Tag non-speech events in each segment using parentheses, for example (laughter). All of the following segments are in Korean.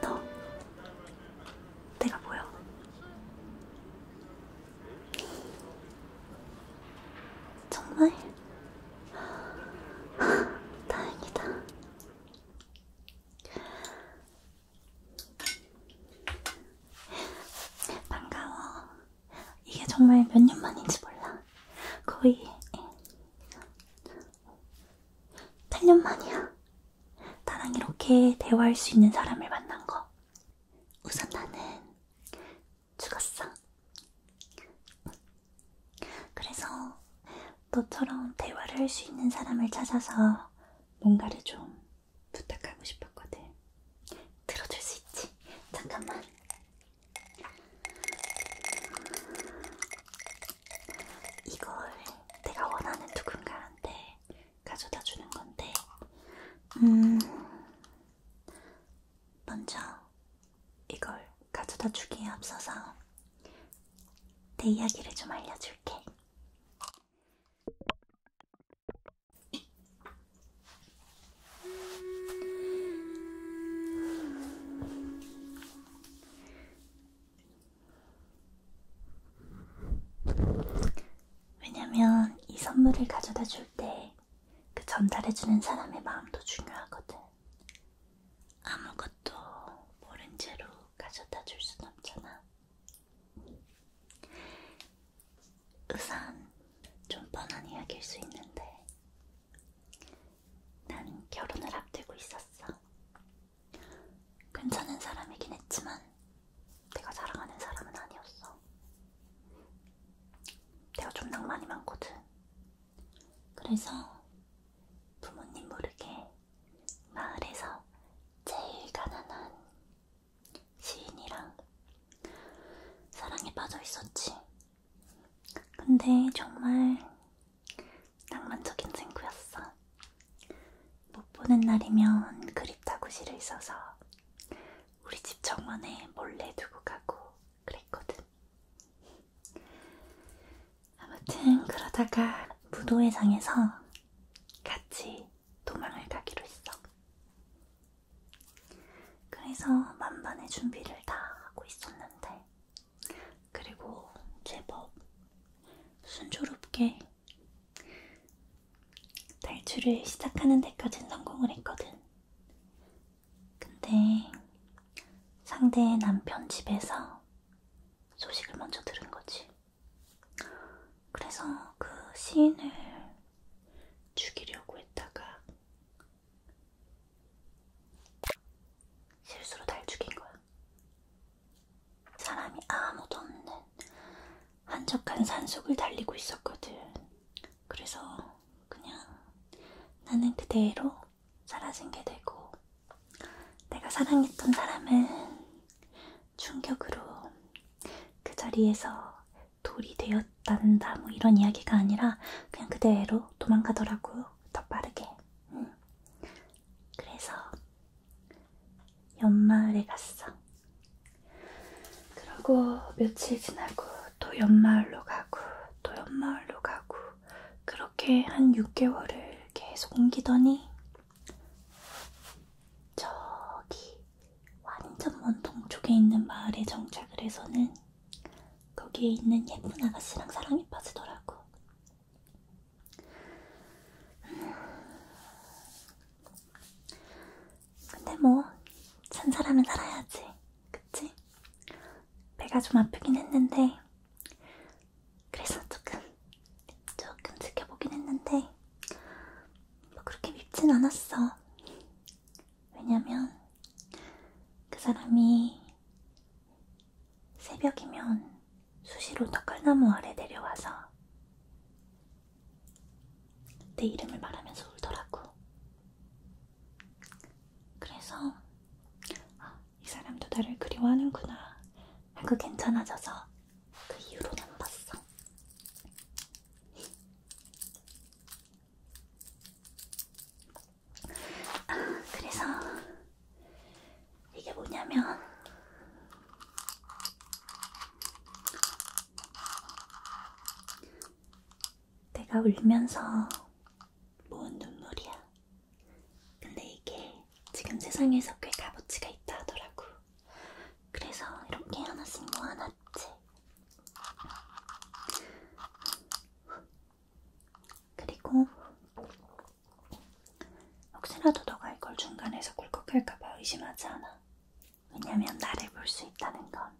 너 내가 보여? 정말 (laughs) 다행이다. 반가워. 이게 정말 몇 년 만인지 몰라. 거의 8년 만이야. 나랑 이렇게 대화할 수 있는 사람을 만난 거. 우선 나는 죽었어. 그래서 너처럼 대화를 할 수 있는 사람을 찾아서 뭔가를 좀 부탁하고 싶었거든. 들어줄 수 있지? 잠깐만. 이걸 내가 원하는 누군가한테 가져다 주는 건데, 음, 먼저 이걸 가져다 주기에 앞서서 내 이야기를 좀 알려줄게. 왜냐면 이 선물을 가져다 줄 때 그 전달해주는 사람의 마음도 중요하거든. 아무것도 모른 채로 가져다 줄 순 없잖아. 우선 좀 뻔한 이야기일 수 있는데 난 결혼을 앞두고 있었어. 괜찮은 사람이긴 했지만 내가 사랑하는 사람은 아니었어. 내가 좀 낭만이 많거든. 그래서 부모님 모르게 마을에서 제일 가난한 시인이랑 사랑에 빠져 있었지. 근데 정말 낭만적인 친구였어. 못 보는 날이면 그립다고 실을 써서 우리 집 정원에 몰래 두고 가고 그랬거든. 아무튼 그러다가 무도회장에서 같이 도망을 가기로 했어. 그래서 만반의 준비를 다 하고 있었는데, 그리고 제법 순조롭게 탈출을 시작하는 데까진 성공을 했거든. 근데 상대의 남편 집에서 소식을 먼저 들은 거지. 그래서 그 시인을 죽이려고 했다가 실수로 날 죽인 거야. 사람이 아무도 없는 한적한 산속을 달리고 있었거든. 그래서 그냥 나는 그대로 사라진 게 되고, 내가 사랑했던 사람은 충격으로 그 자리에서 돌이 되었단다, 뭐 이런 이야기가 아니라 그냥 그대로 도망가더라고요. 더 빠르게. 응. 그래서 연마을에 갔어. 그러고 며칠 지나고 또 연마을로 가고 또 연마을로 가고 그렇게 한 6개월을 계속 옮기더니 저기 완전 먼 동쪽에 있는 마을에 정착을 해서는 거기에 있는 예쁜 아가씨랑 사랑에 빠지더라고. 근데 뭐, 산 사람은 살아야지. 그치? 배가 좀 아프긴 했는데, 그래서 조금, 조금 지켜보긴 했는데, 뭐 그렇게 밉진 않았어. 왜냐면, 그 사람이 새벽이면 수시로 떡갈나무 아래 내려와서 내 이름을 말하면서 울더라고. 그래서 아, 이 사람도 나를 그리워하는구나 하고 괜찮아져서 그 이후로는 안 봤어. 아, 그래서 이게 뭐냐면 내가 울면서 모은 눈물이야. 근데 이게 지금 세상에서 꽤 값어치가 있다 하더라고. 그래서 이렇게 하나씩 모아놨지. 그리고 혹시라도 너가 이걸 중간에서 꿀꺽할까봐 의심하지 않아. 왜냐면 나를 볼 수 있다는 건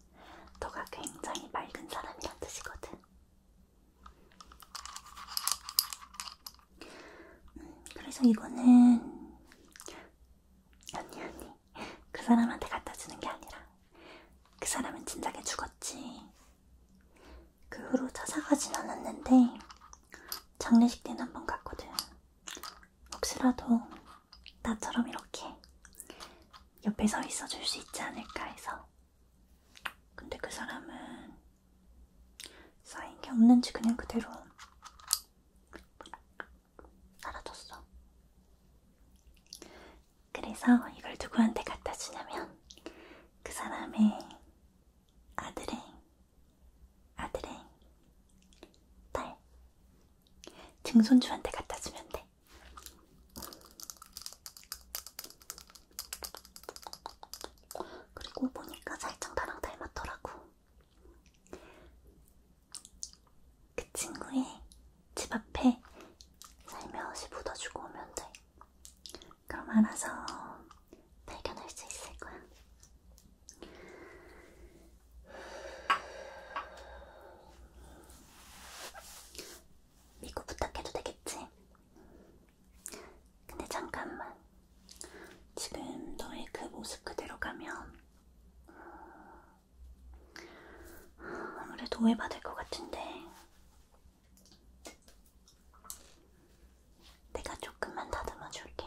너가 굉장히 맑은 사람이란 뜻이거든. 음, 그래서 이거는 언니 언니 그 사람한테 갖다 주는 게 아니라 그 사람은 진작에 죽었지. 그 후로 찾아가진 않았는데 장례식 때는 한 번 갔거든. 혹시라도 나처럼 이렇게 옆에 서 있어줄 수 있지 않을까 해서. 근데 그 사람은 쌓인 게 없는지 그냥 그대로 사라졌어. 그래서 이걸 누구한테 갖다 주냐면 그 사람의 아드랭, 아드랭, 딸. 증손주한테 갖다 주면 돼. 그리고 보니까 살짝 나랑 닮았더라고. 그 친구의 집 앞에 살며시 묻어주고 오면 돼. 그럼 알아서 발견할 수 있을 거야. 믿고 부탁해도 되겠지? 근데 잠깐만. 지금 너의 그 모습 그대로 가면 아무래도 오해받을 것 같은데 내가 조금만 다듬어 줄게.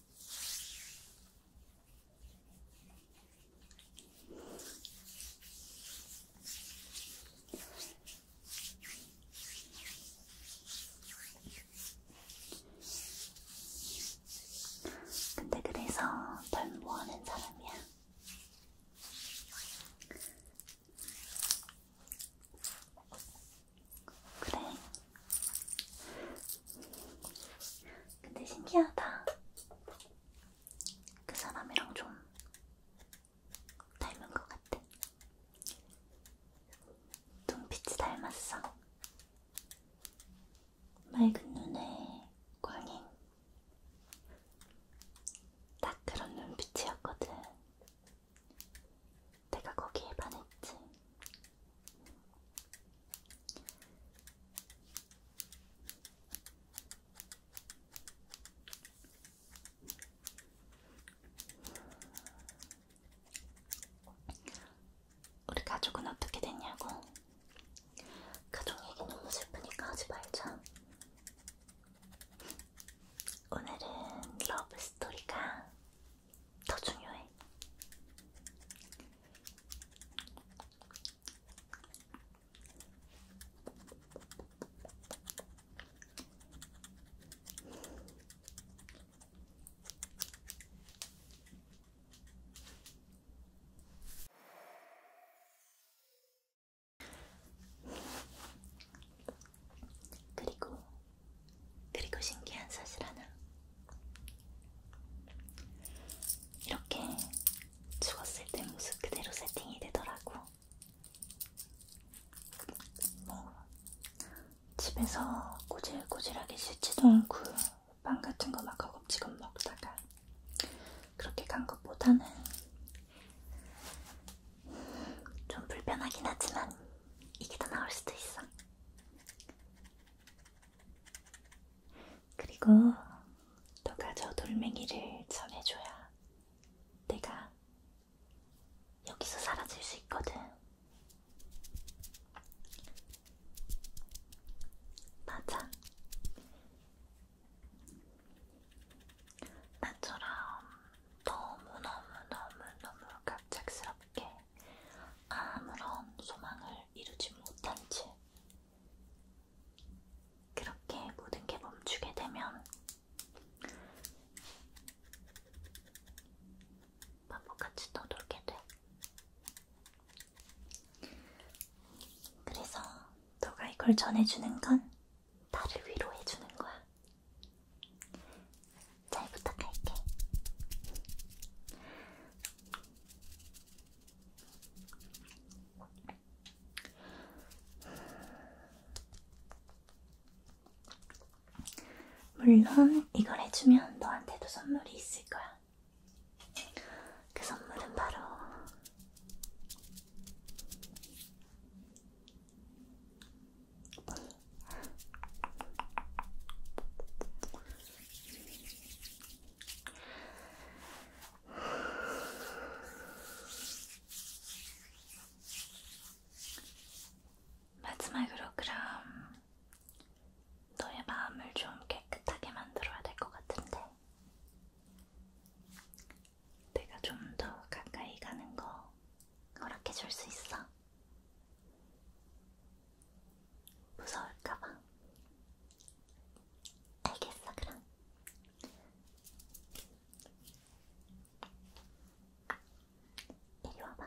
근데 그래서 덜 모아는 사람이야. 그래. 근데 신기하다. 그 사람이랑 좀 닮은 것 같아. 눈빛이 닮았어. 맑은 눈에 광인. 딱 그런 눈빛이었거든. 내가 거기에 반했지. 우리 가족은 어떻게 됐냐고? 가족 얘기 너무 슬프니까 하지 말자. 오늘은 러브 스토리가 더 중요해. 그리고 그리고 신기한 사실 하나 이렇게 죽었을 때 모습 그대로 세팅이 되더라고 뭐 집에서 꼬질꼬질하게 씻지도 않고 빵 같은 거막 허겁지겁 먹다가 그렇게 간 것보다는 좀 불편하긴 하지만 이게 더 나을 수도 있어. 그리고 너가 저 돌멩이를 전해줘야 내가 여기서 사라질 수 있거든. 맞아. 나처럼 너무너무너무너무 갑작스럽게 아무런 소망을 이루지 못한 채 그렇게 모든 게 멈추게 되면 바보같이 떠돌게 돼. 그래서 너가 이걸 전해주는 건 나를 위로해주는 거야. 잘 부탁할게. 물론 이걸 해주면 너한테도 선물이 있을 거야. 그 선물은 바로 마지막으로 그럼 너의 마음을 좀 깨끗하게 만들어야 될 것 같은데 내가 좀 더 가까이 가는 거 허락해 줄수 있어? 무서울까봐. 알겠어, 그럼. 이리 와봐.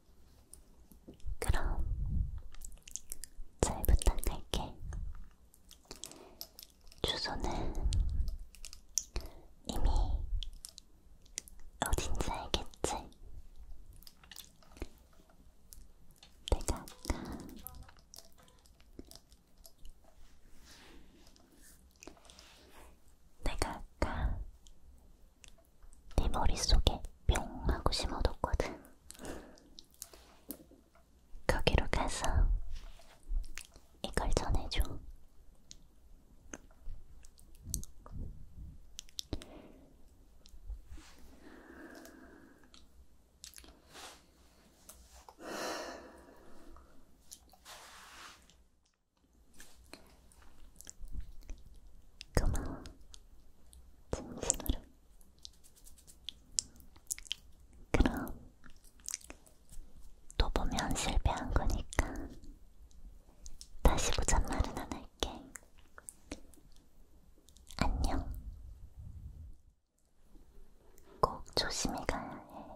그럼 잘 부탁할게. 주소는 이미 어딘지 알겠지? 내가 아까 내가 아까 내 네 머릿속에 뿅 하고 심어뒀거든. 거기로 가서 이걸 전해줘. 고마워. 진심으로. 그럼 또 보면 실패한 거니까 다시 보잔 말은 안 할게. 안녕. 꼭 조심히 가야 해.